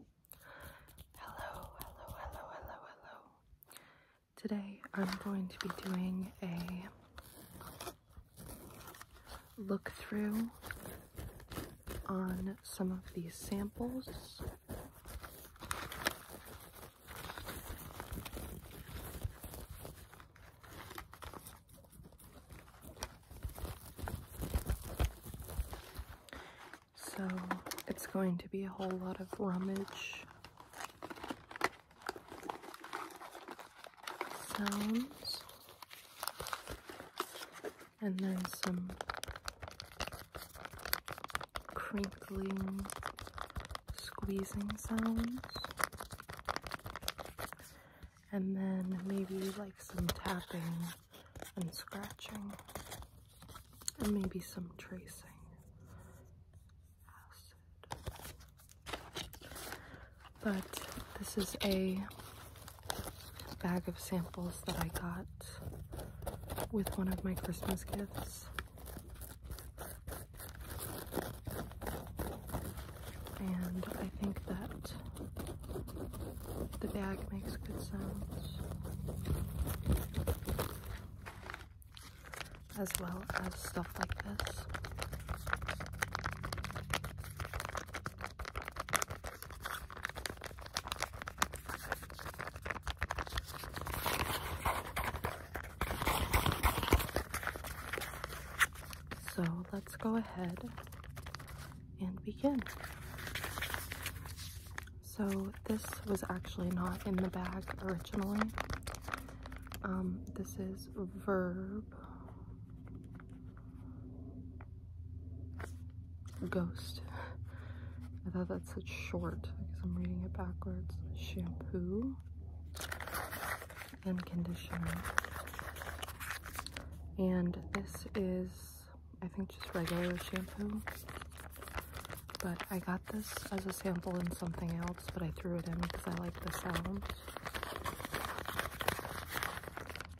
Hello, hello, hello, hello, hello. Today I'm going to be doing a look through on some of these samples. So it's going to be a whole lot of rummage sounds and then some crinkling, squeezing sounds. And then maybe like some tapping and scratching, and maybe some tracing But this is a bag of samples that I got with one of my Christmas gifts. And I think that the bag makes good sounds, as well as stuff like this. So let's go ahead and begin. So this was actually not in the bag originally. Um, this is Verb Ghost. I thought that's such short because I'm reading it backwards. Shampoo and conditioner. And this is I think just regular shampoo. But I got this as a sample in something else, but I threw it in because I like the sound.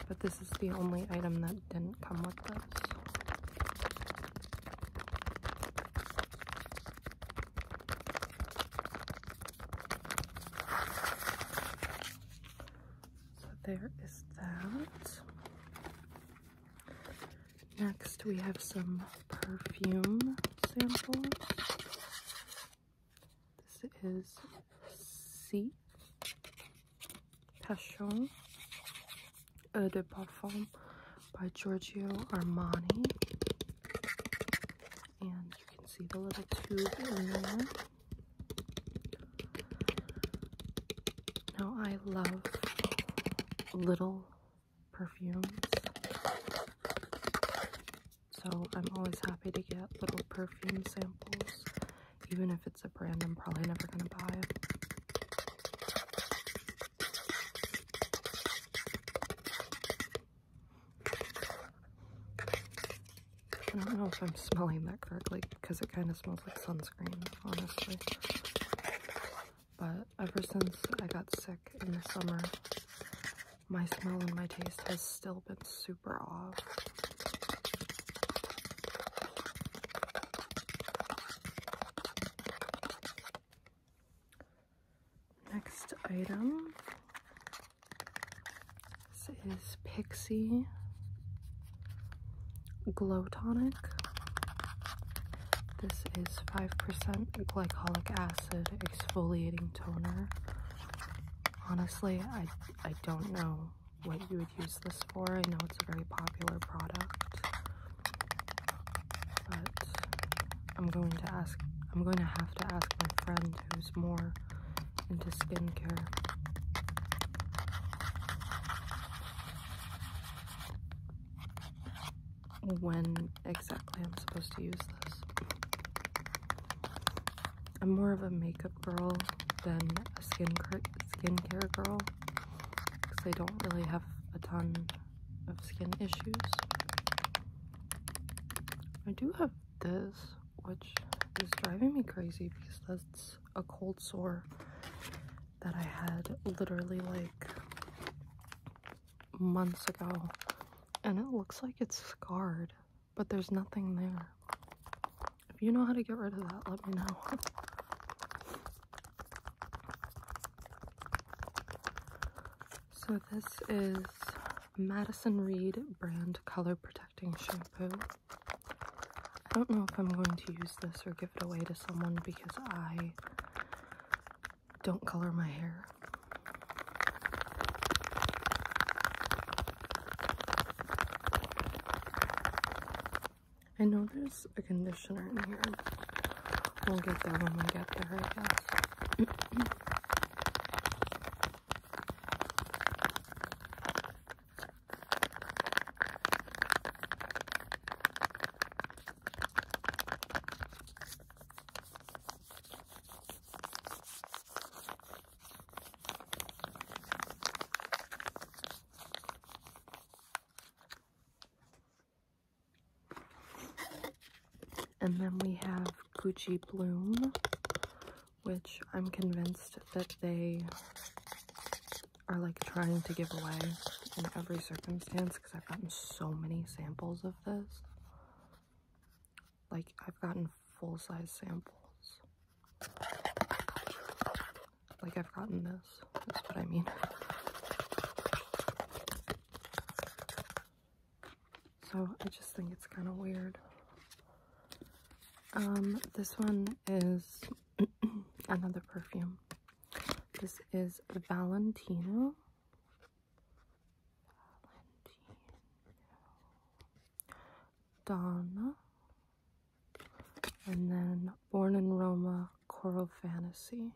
But this is the only item that didn't come with this. So there is that. Next, we have some perfume samples. This is C. Passion Eau de Parfum by Giorgio Armani. And you can see the little tube in there. Now, I love little perfumes, so I'm always happy to get little perfume samples, even if it's a brand I'm probably never going to buy. I don't know if I'm smelling that correctly because it kind of smells like sunscreen, honestly. But ever since I got sick in the summer, my smell and my taste has still been super off. Next item this is Pixie Glow Tonic. This is 5% glycolic acid exfoliating toner. Honestly, I, I don't know what you would use this for. I know it's a very popular product. But I'm going to ask, I'm going to have to ask my friend who's more into skincare. When exactly I'm supposed to use this. I'm more of a makeup girl than a skin skincare girl because I don't really have a ton of skin issues. I do have this, which is driving me crazy because that's a cold sore that I had literally like months ago. And it looks like it's scarred, but there's nothing there. If you know how to get rid of that, let me know. so this is Madison Reed brand color protecting shampoo. I don't know if I'm going to use this or give it away to someone because I don't color my hair. I know there's a conditioner in here. We'll get that when we get there, I guess. And then we have Gucci Bloom, which I'm convinced that they are like trying to give away in every circumstance because I've gotten so many samples of this. Like, I've gotten full size samples. Like, I've gotten this. That's what I mean. So, I just think it's kind of weird. Um, this one is another perfume. This is Valentino. Valentino. Donna. And then Born in Roma Coral Fantasy.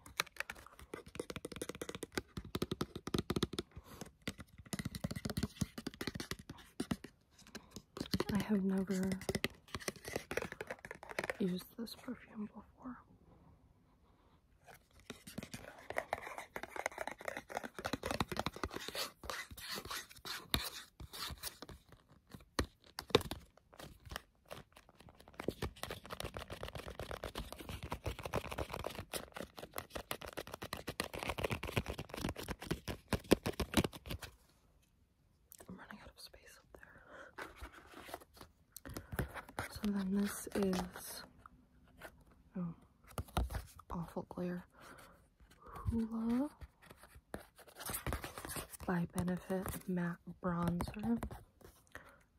I have never used this perfume before. I'm running out of space up there. So then this is oh, awful glare. Hoola by Benefit Matte Bronzer.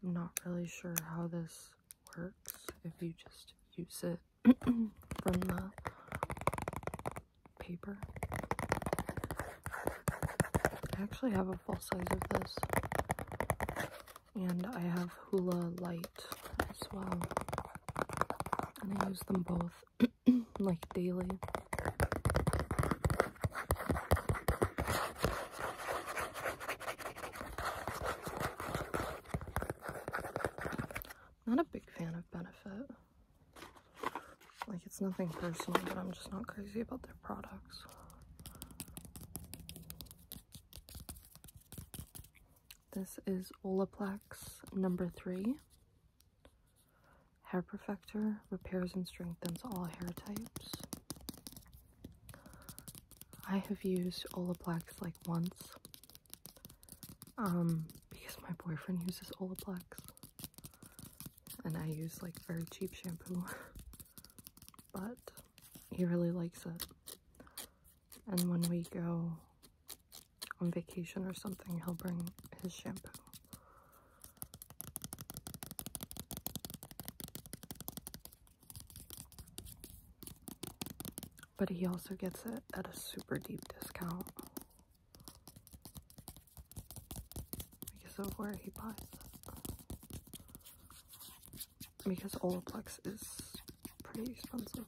I'm not really sure how this works if you just use it from the paper. I actually have a full size of this. And I have Hula Light as well. And I use them both like daily. Not a big fan of Benefit. Like, it's nothing personal, but I'm just not crazy about their products. This is Olaplex number three. Hair Perfector repairs and strengthens all hair types. I have used Olaplex like once um, because my boyfriend uses Olaplex. And I use like very cheap shampoo. but he really likes it. And when we go on vacation or something, he'll bring his shampoo but he also gets it at a super deep discount because of where he buys Because Olaplex is pretty expensive.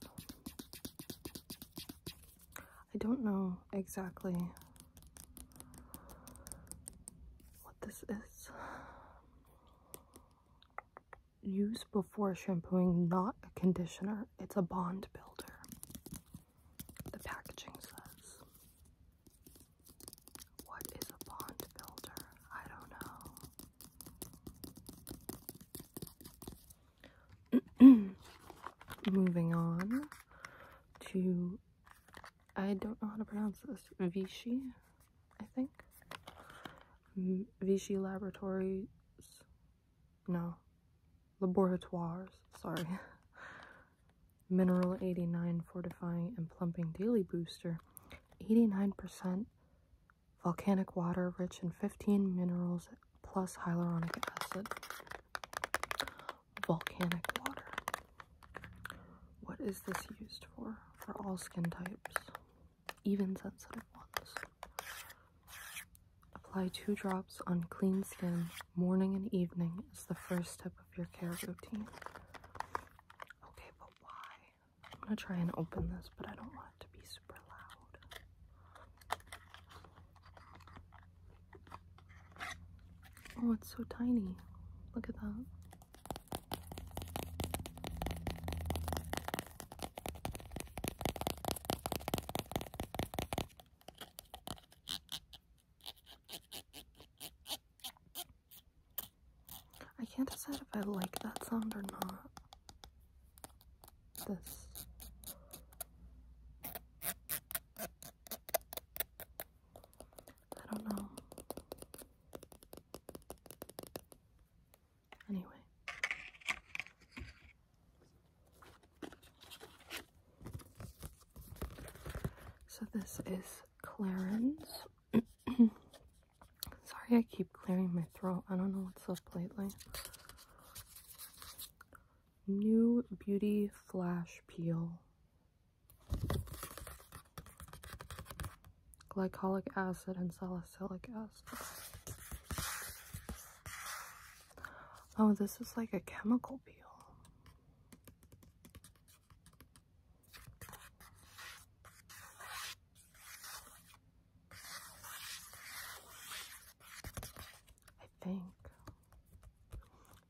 I don't know exactly what this is use before shampooing, not a conditioner. It's a bond builder. The packaging says. What is a bond builder? I don't know. Moving on to, I don't know how to pronounce this, Vichy, I think. Vichy Laboratories no, laboratoires, sorry. Mineral 89 Fortifying and Plumping Daily Booster. 89% volcanic water rich in 15 minerals plus hyaluronic acid. Volcanic water. What is this used for? For all skin types even sensitive ones. Apply two drops on clean skin morning and evening as the first step of your care routine. Okay, but why? I'm gonna try and open this, but I don't want it to be super loud. Oh, it's so tiny. Look at that. I can't decide if I like that sound or not. This. I don't know. Anyway. So this is Clarence. Sorry I keep clearing my throat. I don't know what's up lately. New Beauty Flash Peel. Glycolic acid and salicylic acid. Oh, this is like a chemical peel. I think.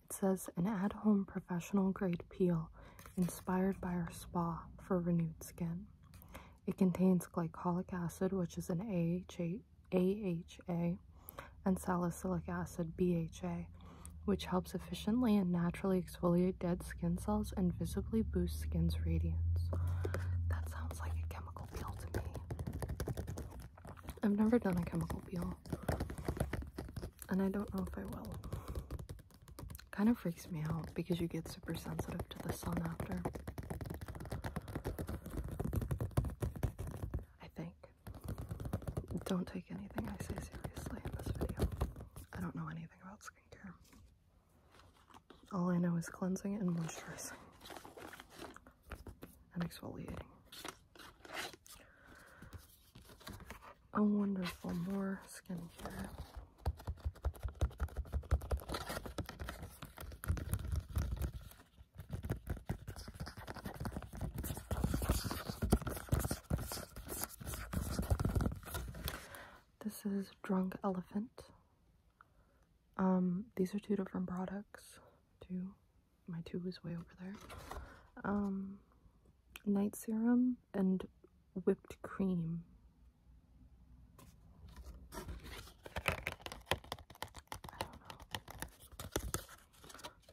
It says an at-home professional grade peel inspired by our spa for renewed skin. It contains glycolic acid, which is an AHA, and salicylic acid, BHA, which helps efficiently and naturally exfoliate dead skin cells and visibly boost skin's radiance. That sounds like a chemical peel to me. I've never done a chemical peel, and I don't know if I will. Kind of freaks me out because you get super sensitive to the sun after. I think. Don't take anything I say seriously in this video. I don't know anything about skincare. All I know is cleansing and moisturizing and exfoliating. A wonderful more skincare. This is Drunk Elephant. Um, these are two different products. Two, my two is way over there. Um, night serum and whipped cream I don't know.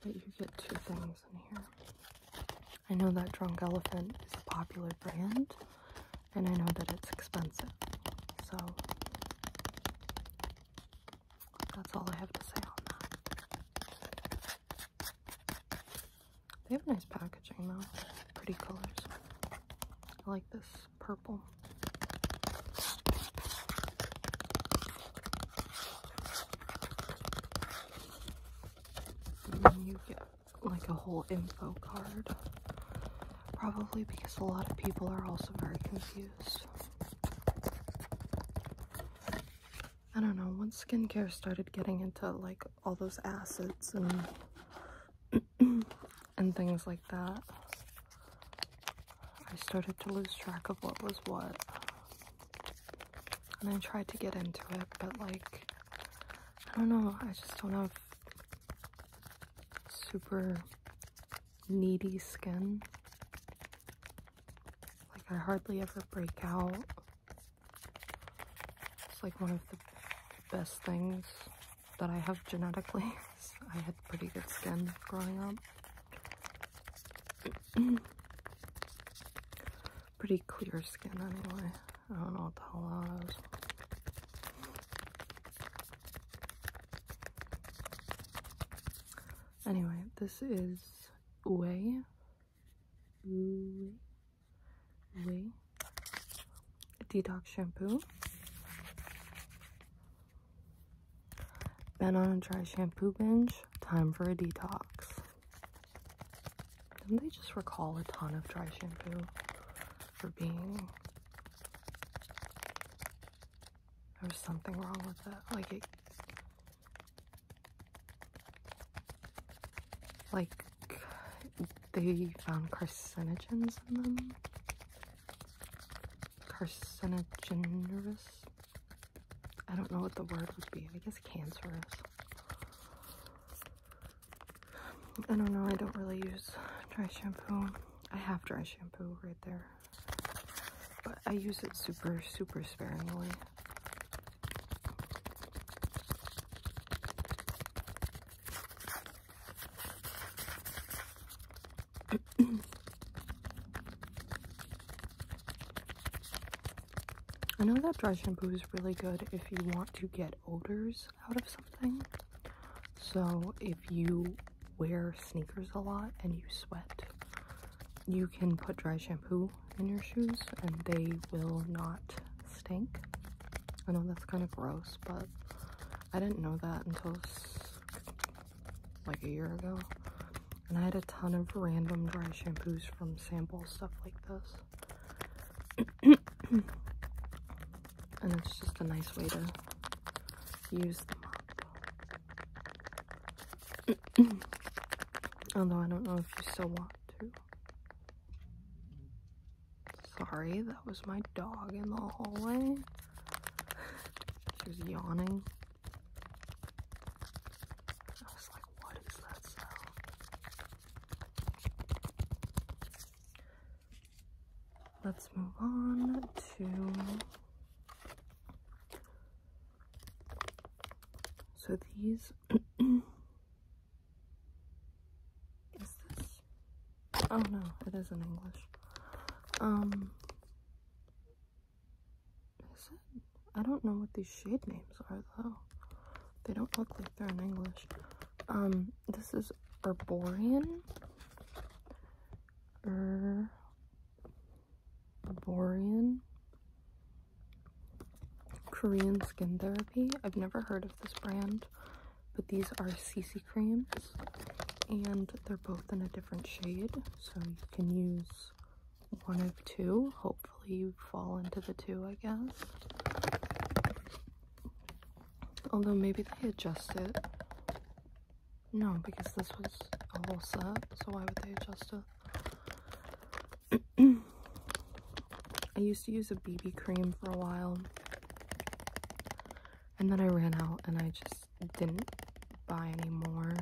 But you get two things in here. I know that Drunk Elephant is a popular brand, and I know that it's expensive. So that's all I have to say on that. They have nice packaging though. Pretty colors. I like this purple. you get like a whole info card. Probably because a lot of people are also very confused. I don't know, once skincare started getting into like all those acids and and things like that. I started to lose track of what was what. And I tried to get into it, but like, I don't know, I just don't have super needy skin. Like, I hardly ever break out. It's like one of the best things that I have genetically. I had pretty good skin growing up. pretty clear skin anyway. I don't know what the hell that is. Anyway, this is way. Uwe. Uwe detox shampoo, been on a dry shampoo binge, time for a detox. Didn't they just recall a ton of dry shampoo for being there's something wrong with that. Like it like they found carcinogens in them. Carcinogenerous? I don't know what the word would be. I guess cancerous. I don't know. I don't really use dry shampoo. I have dry shampoo right there. But I use it super, super sparingly. I know that dry shampoo is really good if you want to get odors out of something. So if you wear sneakers a lot and you sweat, you can put dry shampoo in your shoes and they will not stink. I know that's kind of gross, but I didn't know that until like a year ago. And I had a ton of random dry shampoos from sample stuff like this. and it's just a nice way to use them up. Although I don't know if you still want to. Sorry, that was my dog in the hallway. She was yawning. I was like, what is that sound? Let's move on to. So these. Is this? Oh no, it is in English. Um, is it? I don't know what these shade names are though. They don't look like they're in English. Um, this is Arborian. Herborian. Arborian. Korean skin therapy. I've never heard of this brand but these are CC creams and they're both in a different shade so you can use one of two hopefully you fall into the two I guess although maybe they adjust it no because this was a whole set so why would they adjust it I used to use a BB cream for a while. And then I ran out and I just didn't buy any more.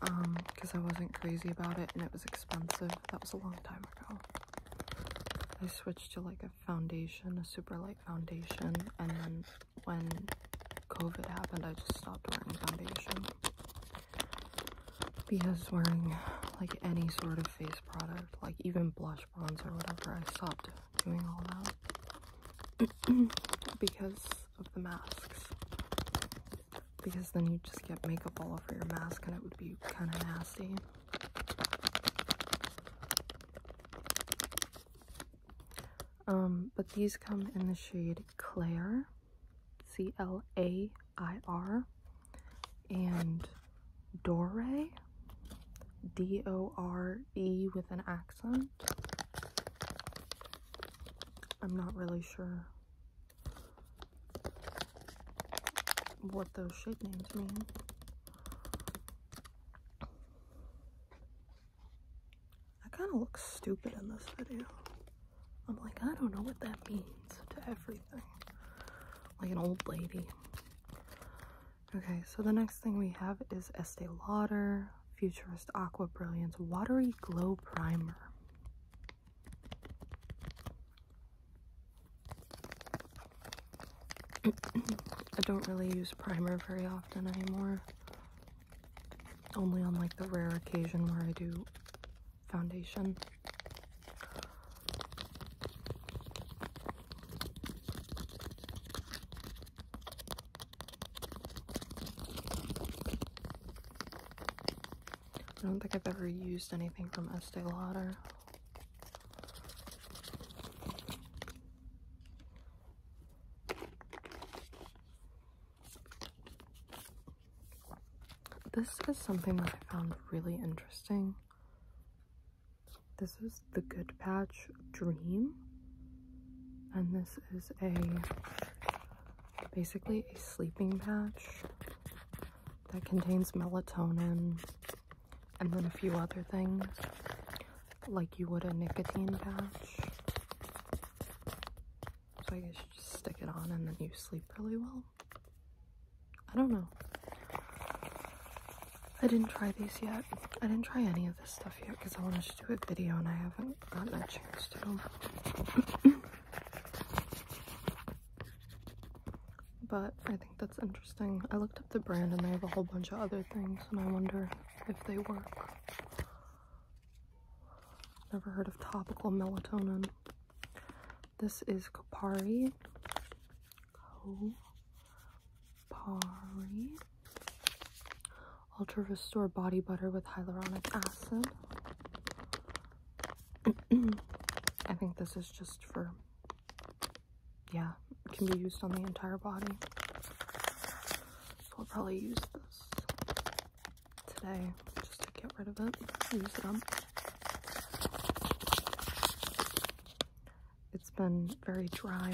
because um, I wasn't crazy about it and it was expensive. That was a long time ago. I switched to like a foundation, a super light foundation, and then when COVID happened, I just stopped wearing foundation because wearing like any sort of face product, like even blush, bronzer, whatever, I stopped doing all that because of the masks. Because then you just get makeup all over your mask and it would be kind of nasty. Um, but these come in the shade Claire, C L A I R and Dore, D O R E with an accent. I'm not really sure what those shade names mean. I kind of look stupid in this video. I'm like, I don't know what that means to everything. Like an old lady. Okay, so the next thing we have is Estee Lauder Futurist Aqua Brilliance Watery Glow Primer. I don't really use primer very often anymore. Only on like the rare occasion where I do foundation. I don't think I've ever used anything from Estee Lauder. This is something that I found really interesting. This is the Good Patch Dream, and this is a basically a sleeping patch that contains melatonin and then a few other things like you would a nicotine patch. So I guess you just stick it on and then you sleep really well. I don't know. I didn't try these yet. I didn't try any of this stuff yet because I wanted to do a video and I haven't gotten a chance to. but I think that's interesting. I looked up the brand and they have a whole bunch of other things and I wonder if they work. Never heard of topical melatonin. This is Kopari. Kopari. Ultra Restore Body Butter with Hyaluronic Acid. I think this is just for, yeah, it can be used on the entire body. So I'll probably use this today just to get rid of it, use it up. It's been very dry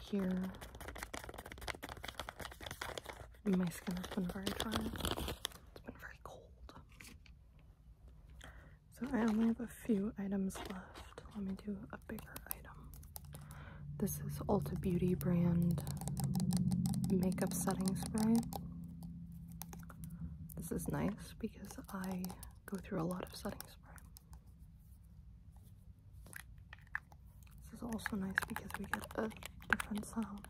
here. My skin has been very dry. It's been very cold. So I only have a few items left. Let me do a bigger item. This is Ulta Beauty brand makeup setting spray. This is nice because I go through a lot of setting spray. This is also nice because we get a different sound.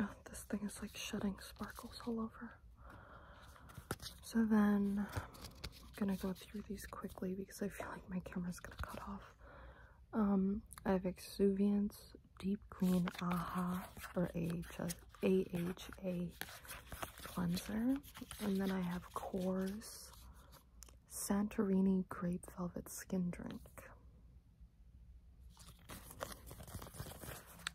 Oh, this thing is like shedding sparkles all over. So then I'm gonna go through these quickly because I feel like my camera's gonna cut off. Um, I have Exuviance Deep Clean AHA or AHS AHA cleanser. And then I have Coors Santorini Grape Velvet Skin Drink.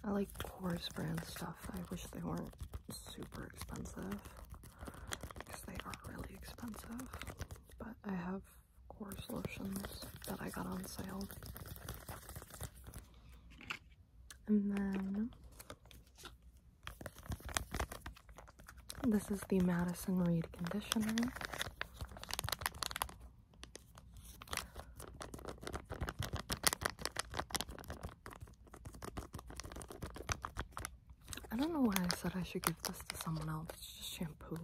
I like Coors brand stuff. I wish they weren't super expensive because they are really expensive. But I have Coors lotions that I got on sale. And then this is the Madison Reed conditioner. I don't know why I said I should give this to someone else. It's just shampoo.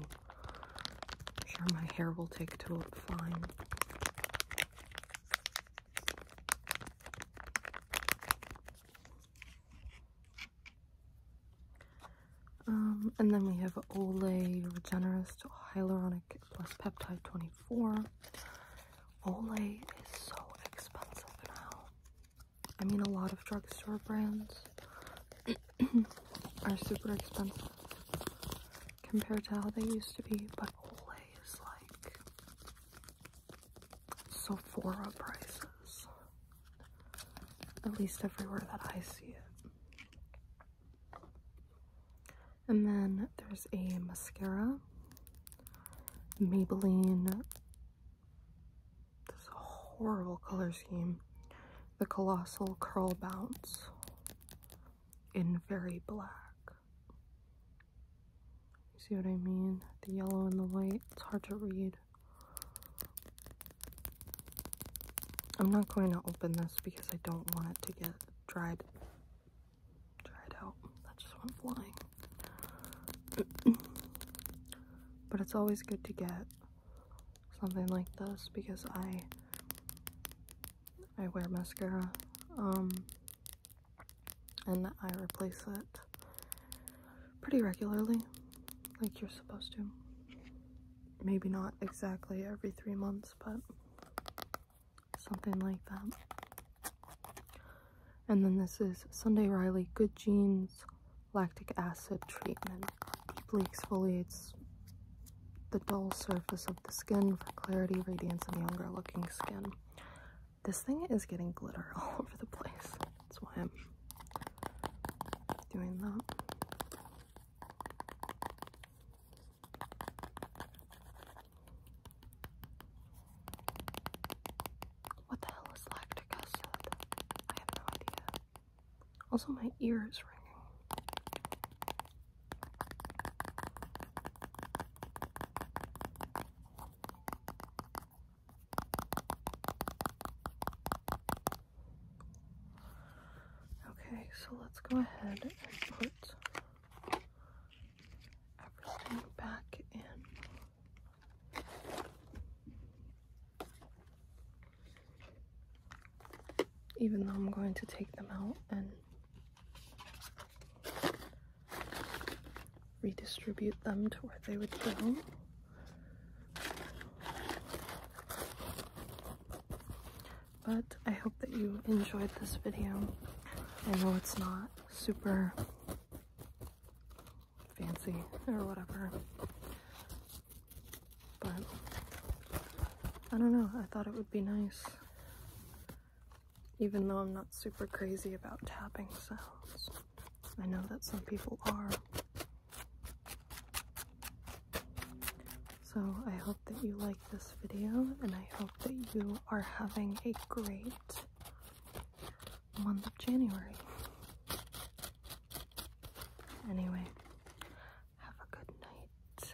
sure my hair will take to it fine. Um, and then we have Olay Regenerist Hyaluronic Plus Peptide 24. Olay is so expensive now. I mean, a lot of drugstore brands are super expensive compared to how they used to be, but Olay is like Sephora prices. At least everywhere that I see it. And then there's a mascara. Maybelline. This horrible color scheme. The Colossal Curl Bounce in very black see what I mean? The yellow and the white, it's hard to read. I'm not going to open this because I don't want it to get dried dried out. That just went flying. but it's always good to get something like this because I I wear mascara. Um and I replace it pretty regularly, like you're supposed to. Maybe not exactly every three months, but something like that. And then this is Sunday Riley Good Genes Lactic Acid Treatment. Deeply exfoliates the dull surface of the skin clarity, radiance, and younger looking skin. This thing is getting glitter all over the place. That's why I'm doing that. What the hell is lactic acid? I have no idea. Also, my ear is ringing. Okay, so let's go ahead and put everything back in. Even though I'm going to take them out and redistribute them to where they would go. But I hope that you enjoyed this video. I know it's not super fancy or whatever, but I don't know, I thought it would be nice even though I'm not super crazy about tapping sounds, I know that some people are. So I hope that you like this video and I hope that you are having a great month of January. Anyway, have a good night.